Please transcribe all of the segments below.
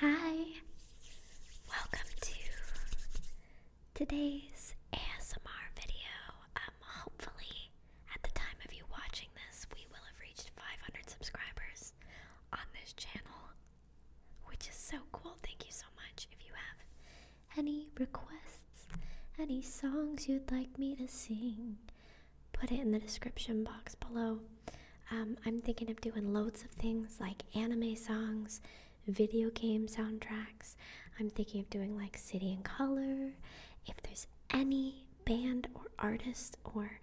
Hi, welcome to today's ASMR video. Um, hopefully, at the time of you watching this, we will have reached 500 subscribers on this channel, which is so cool. Thank you so much. If you have any requests, any songs you'd like me to sing, put it in the description box below. Um, I'm thinking of doing loads of things like anime songs, video game soundtracks. I'm thinking of doing like City in Color. If there's any band or artist or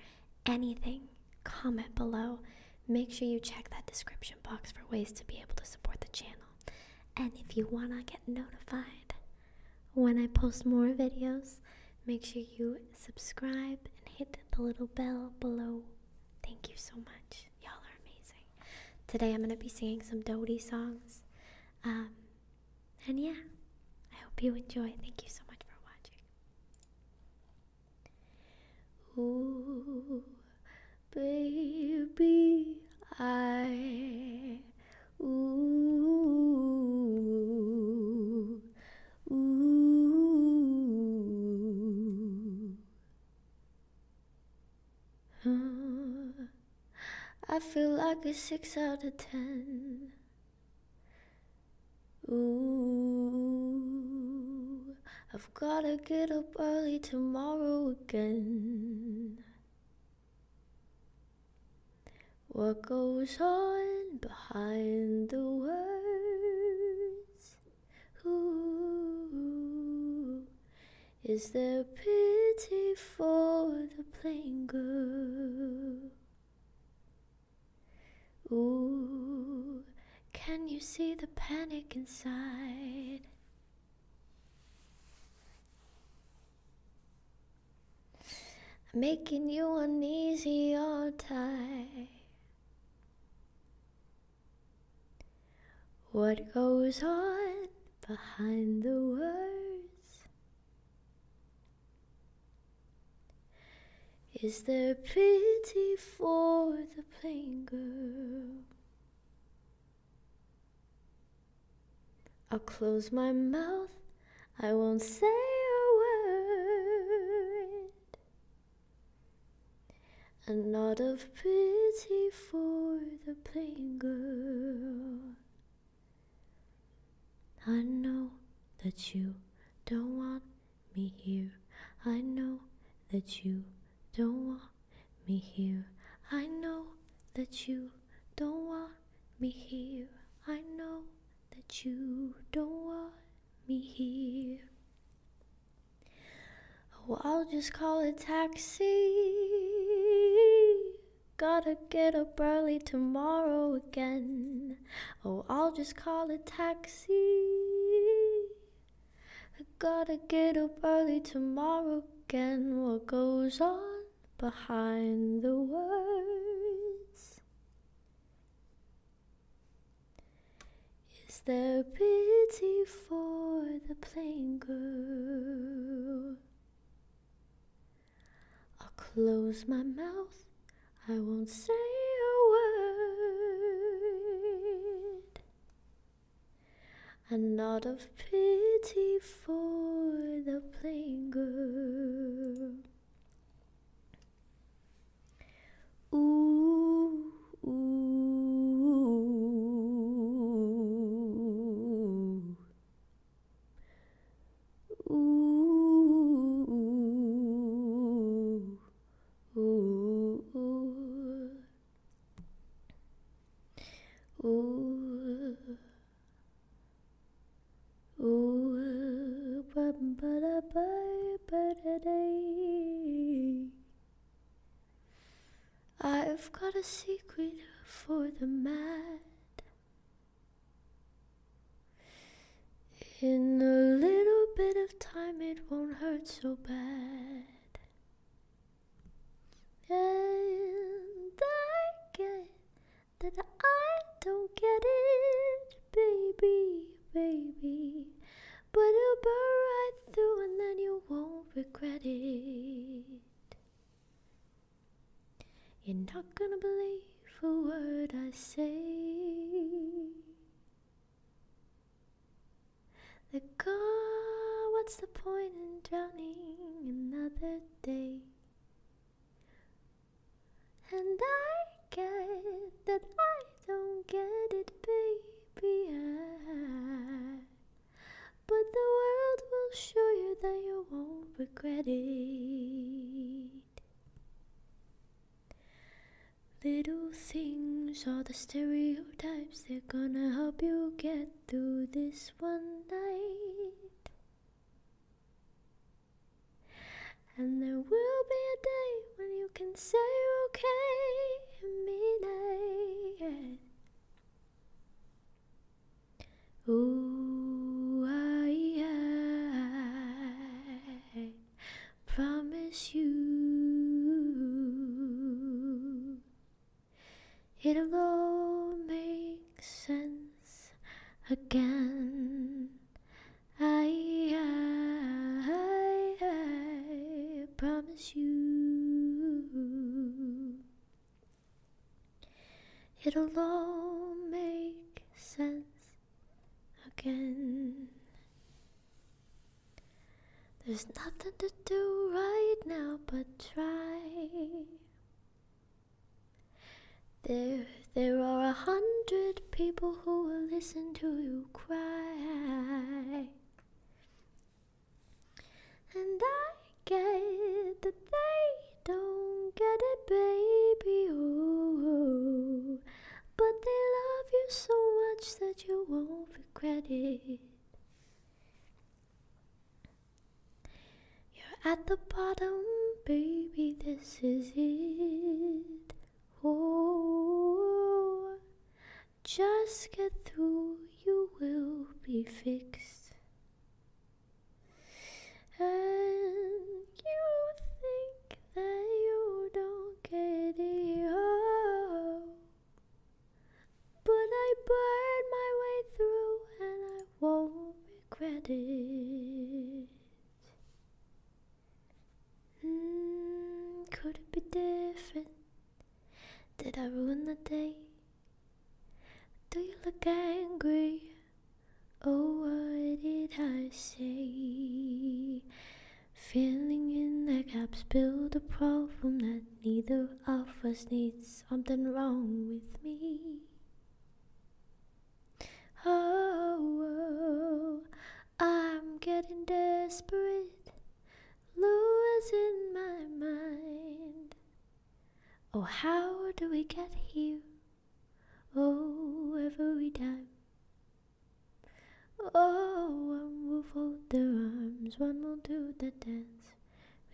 anything, comment below. Make sure you check that description box for ways to be able to support the channel. And if you want to get notified when I post more videos, Make sure you subscribe and hit the little bell below. Thank you so much. Y'all are amazing. Today I'm going to be singing some Dodie songs. Um, and yeah, I hope you enjoy. Thank you so much for watching. Ooh, baby, I. Ooh, Ooh. I feel like a six out of ten. Ooh, I've gotta get up early tomorrow again. What goes on behind the words. Ooh, is there pity for the plain girl? Ooh, can you see the panic inside? making you uneasy all the time. What goes on behind the words? Is there pity for the plain girl? I'll close my mouth, I won't say a word and not of pity for the plain girl. I know that you don't want me here. I know that you don't want me here. I know that you don't want me here. I know that you don't want me Oh, I'll just call a taxi. Gotta get up early tomorrow again. Oh, I'll just call a taxi. I gotta get up early tomorrow again. What goes on behind the words? Is there pity for the plain girl? I'll close my mouth, I won't say a word. And not of pity for the plain girl. Ooh, ooh, ooh, ooh, ooh, ooh, ooh, birthday. I've got a secret for the mad. In a little bit of time, it won't hurt so bad. And I get that I don't get it, baby baby. But it'll burn right through, and then you won't regret it. You're not gonna believe a word I say. The God, what's the point in drowning another day? And I get that I don't get it, baby. But the world will show you that you won't regret it. Little things are the stereotypes, they're gonna help you get through this one night. And there will be a day when you can say okay and mean Ooh, I, I promise you it'll all make sense again. I, I, I promise you it'll all make sense again. There's nothing to do right now but try. There's. There are a hundred people who will listen to you cry. And I get that they don't get it, baby. Ooh. But they love you so much that you won't regret it. You're at the bottom, baby, this is it. Oh, just get through, you will be fixed. And you think that you don't get it, oh, but I burned my way through and I won't regret it. Hmm, could it be different? Did I ruin the day? Do you look angry? Oh, what did I say? Filling in the gaps, build a problem that neither of us needs. Something wrong with me. Oh, I'm getting desperate, losing my mind. Oh, how do we get here? Oh, every time. Oh, one will fold their arms, one will do the dance.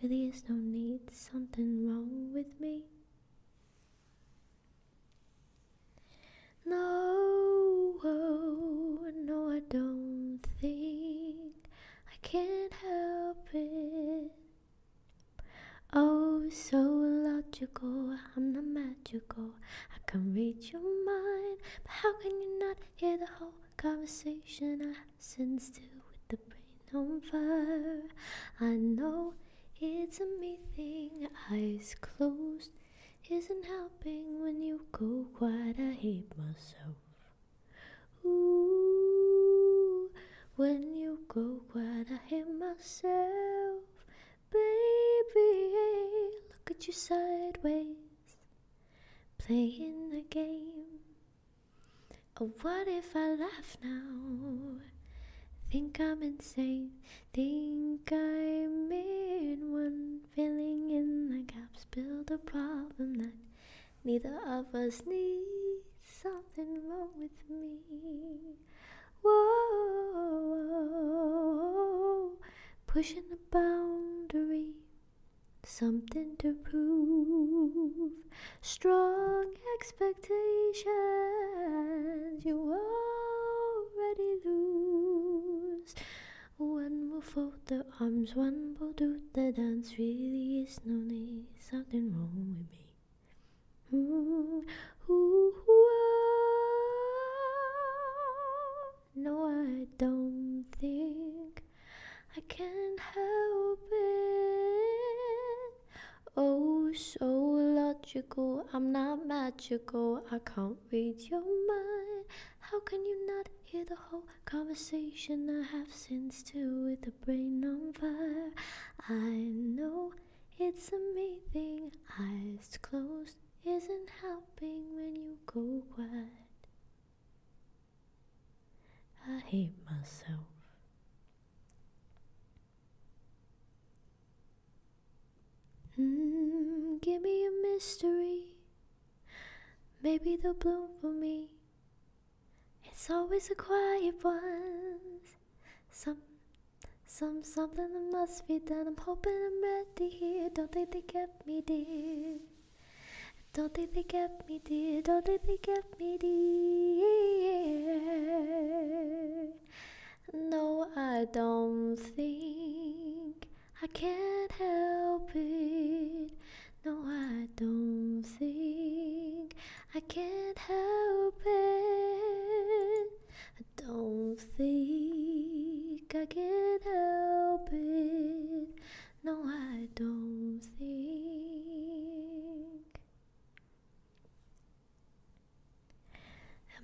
Really is no need, something wrong with me. No, oh, no, I don't think I can't help it. Oh, so illogical! I'm not magical. I can read your mind, but how can you not hear the whole conversation I sense to with the brain on fire? I know it's a me thing, eyes closed, isn't helping when you go quiet. I hate myself. Ooh, when you go quiet, I hate myself. Baby, look at you sideways, playing the game. Oh, what if I laugh now? Think I'm insane. Think I made one, filling in the gaps, build a problem that neither of us needs. Something wrong with me. Whoa, pushing the boundary, something to prove. Strong expectations, you are already lose. One will fold the arms, one will do the dance. Really, is no need, something wrong with me. No, I don't think I can help it. Oh, so logical, I'm not magical, I can't read your mind. How can you not hear the whole conversation I have since two with the brain on fire? I know it's amazing, eyes closed isn't helping when you go quiet. I hate myself. Hmm, give me a mystery. Maybe they'll bloom for me. It's always the quiet ones. Some, some, something that must be done. I'm hoping I'm ready here. Don't think they kept me dear. Don't think they kept me dear. Don't think they kept me dear. No, I don't think I can't help it. No, I don't think I can't help it. I don't think I can not help it. No, I don't think.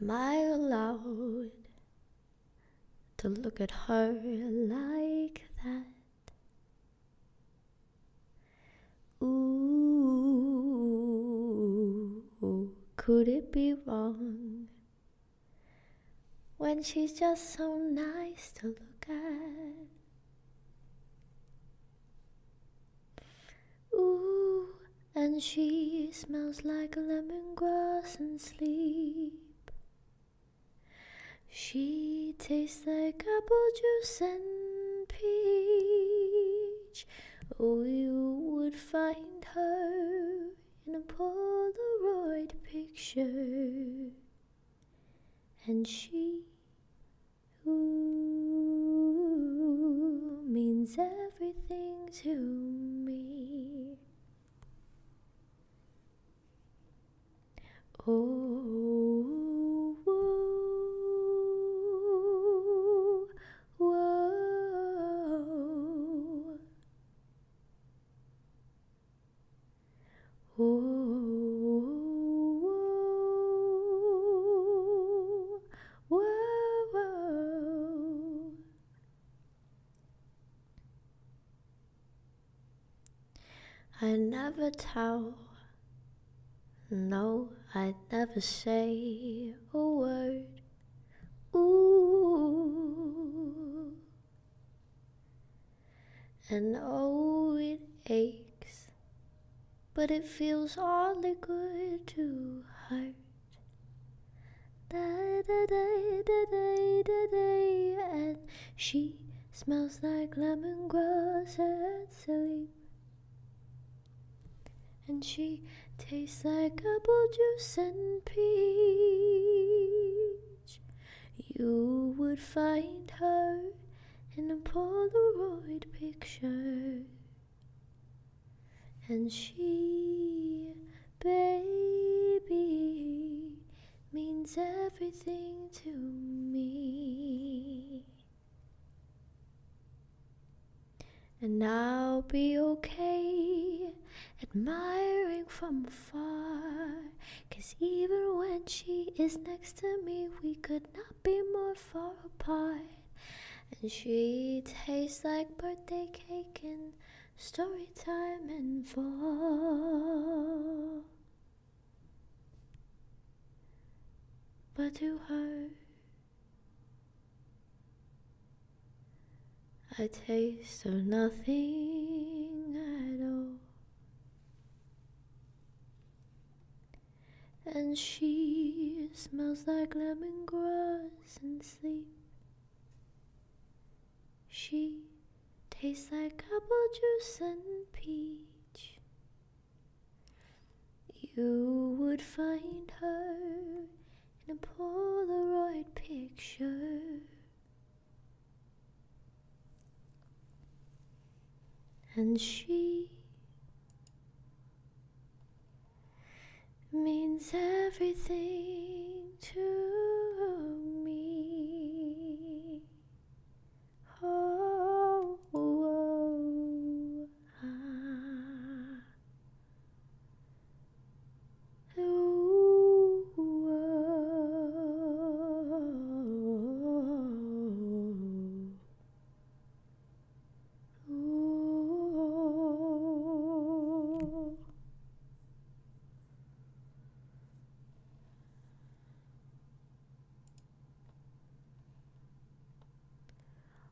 Am I allowed to look at her like that? Ooh, could it be wrong when she's just so nice to look at? Ooh, and she smells like lemongrass and sleep. She tastes like apple juice and peach. Oh, you would find her in a Polaroid picture. And she, ooh, means everything to me. Oh, whoa, oh, whoa. whoa, whoa. I never tell, no, I never say a word. Ooh, and oh, it aches, but it feels oddly good to hurt. Da da day, da day, da day, and she smells like lemon grass and sleep. And she tastes like apple juice and peach. You would find her in a Polaroid picture. And she, baby, means everything to me. And I'll be okay admiring from afar. Cause even when she is next to me, we could not be more far apart. And she tastes like birthday cake in story time and fall. But to her, I taste of nothing at all. And she smells like lemongrass and sleep. She tastes like apple juice and peach. You would find her in a Polaroid picture. And she means everything to me. Oh, oh, ah. oh. Ooh.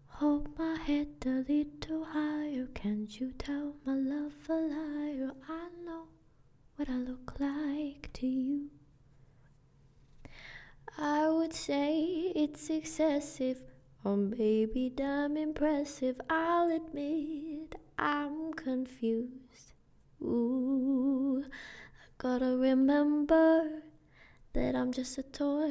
Hold my head a little higher. Can't you tell my love a liar? I know what I look like to you. I would say it's excessive. Oh, baby, damn impressive, I'll admit I'm confused. Ooh, I gotta remember that I'm just a toy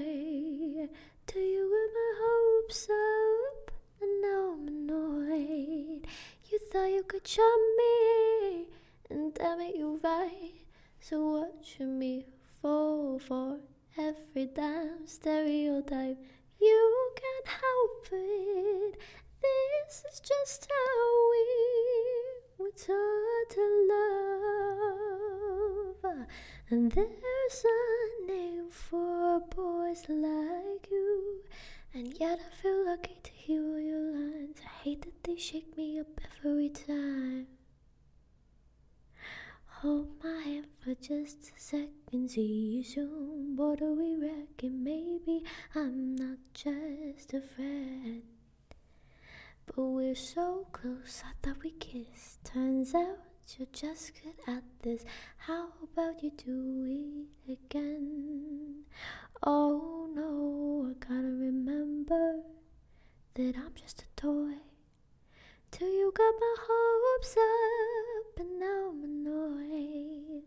to you with my hopes up, and now I'm annoyed. You thought you could charm me, and damn it, you right. So watch me fall for? every damn stereotype. You can't help it. This is just how we were taught to love. And there's a name for boys like you. And yet I feel lucky to hear your lines. I hate that they shake me up every time. Hold my hand for just a second, see you soon. What do we reckon? Maybe I'm not just a friend. But we're so close, I thought we kissed. Turns out you're just good at this. How about you do it again? Oh no, I gotta remember that I'm just a toy. Till you got my hopes up and now I'm annoyed.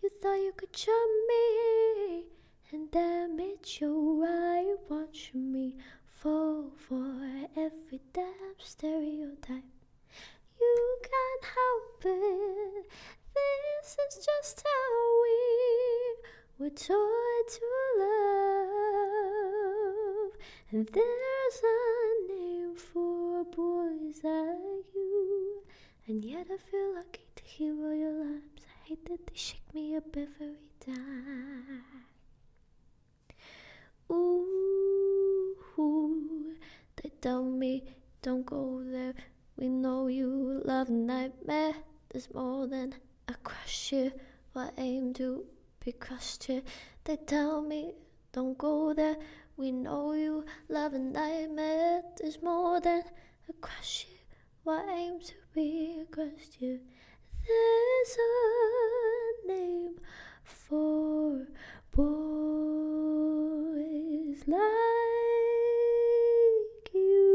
You thought you could charm me and damage your right. Watch me fall for every damn stereotype. You can't help it. This is just how we were taught to love. There's a name for boys like you, and yet I feel lucky to hear all your lies. I hate that they shake me up every time. Ooh, they tell me don't go there. We know you love nightmare. There's more than a crush here. I aim to because crushed They tell me, don't go there. We know you love a nightmare. There's more than a crush here. I aim to be crushed You, There's a name for boys like you.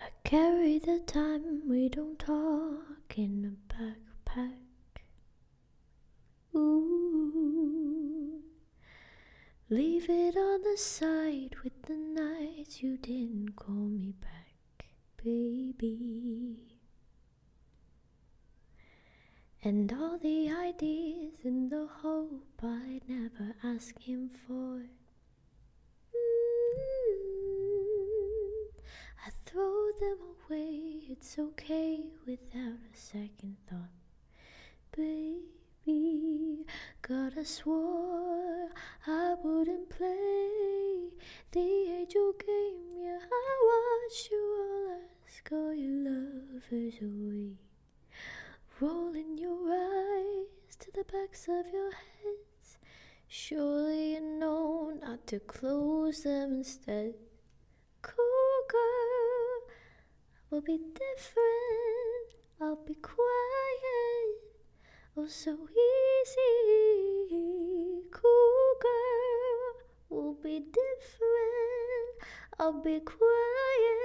I carry the time we don't talk in a backpack. Ooh, leave it on the side with the nights you didn't call me back, baby. And all the ideas in the whole but I never ask him for. Mm. I throw them away, it's okay without a second thought. Baby, Got I swore I wouldn't play the angel game. Yeah, I watched you all ask all your lovers away. Rolling your eyes to the backs of your heads. Surely you know not to close them instead. Cool girl, I will be different. I'll be quiet. Oh, so easy. Cool girl, we'll be different. I'll be quiet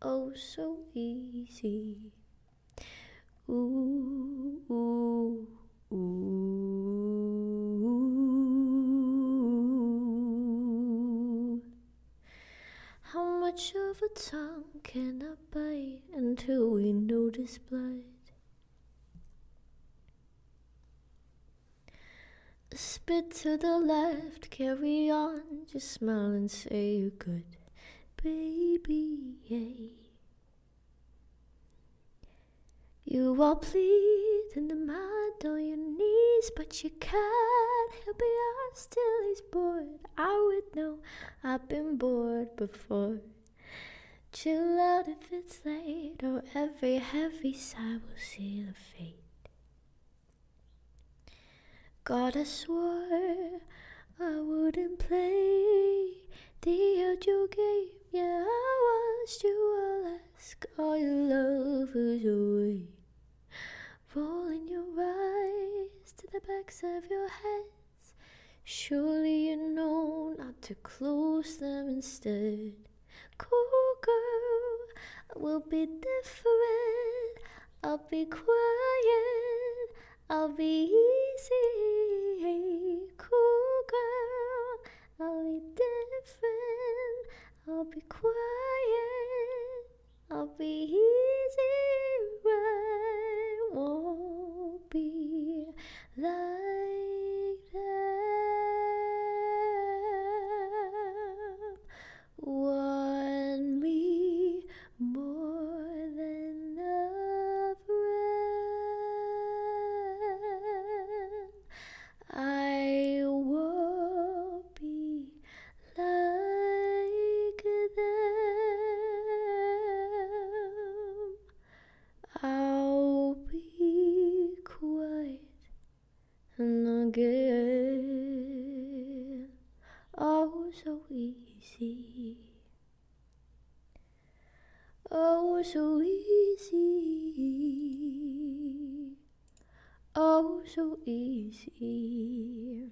oh so easy. Ooh, ooh, ooh. How much of a tongue can I bite until we notice blood? Spit to the left to carry on. Just smile and say you could, baby. Yeah. You are pleading the mud on your knees, but you can't help it. I still hes bored. I would know. I've been bored before. Chill out if it's late, or every heavy sigh will seal a fate. God, I swore I wouldn't play the outdoor game. Yeah, I watched you ask all your lovers away. Rolling your eyes to the backs of your heads. Surely you know not to close them instead. Cool girl, I will be different. I'll be quiet, I'll be easy, cool girl, I'll be different, I'll be quiet, I'll be easy, I won't be like them won me more than a friend. I won't be like them. I'll be quiet and again. Oh, so easy. Oh, so easy. Oh, so easy.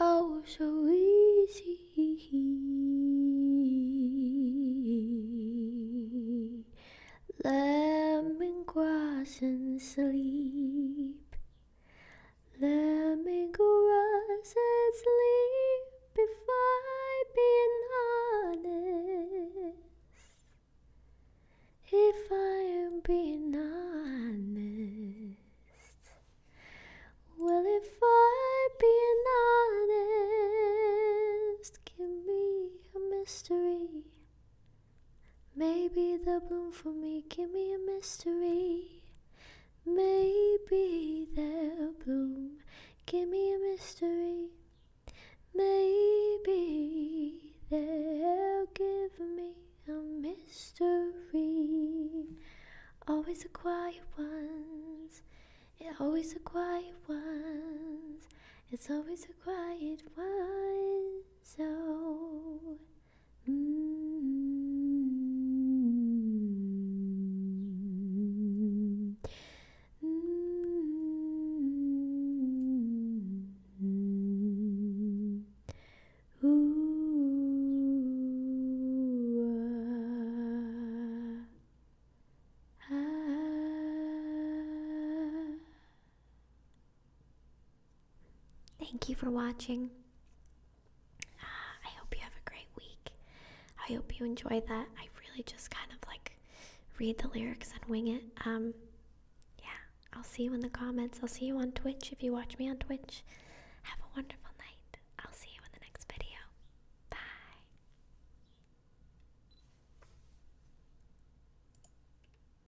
Oh, so easy. Lemon grass and sleep. Let me go rise and sleep if I'm being honest. If I am being honest, well, if I'm being honest, give me a mystery. Maybe they'll bloom for me Give me a mystery. Maybe they'll bloom Give me a mystery. Maybe they'll give me a mystery. Always the quiet ones. It's always the quiet ones. It's always the quiet ones. So. Oh hmm Ooh, ah. Thank you for watching. Ah, I hope you have a great week. I hope you enjoy that. I really just kind of like read the lyrics and wing it. Um, yeah, I'll see you in the comments. I'll see you on Twitch if you watch me on Twitch. Have a wonderful night. I'll see you in the next video. Bye.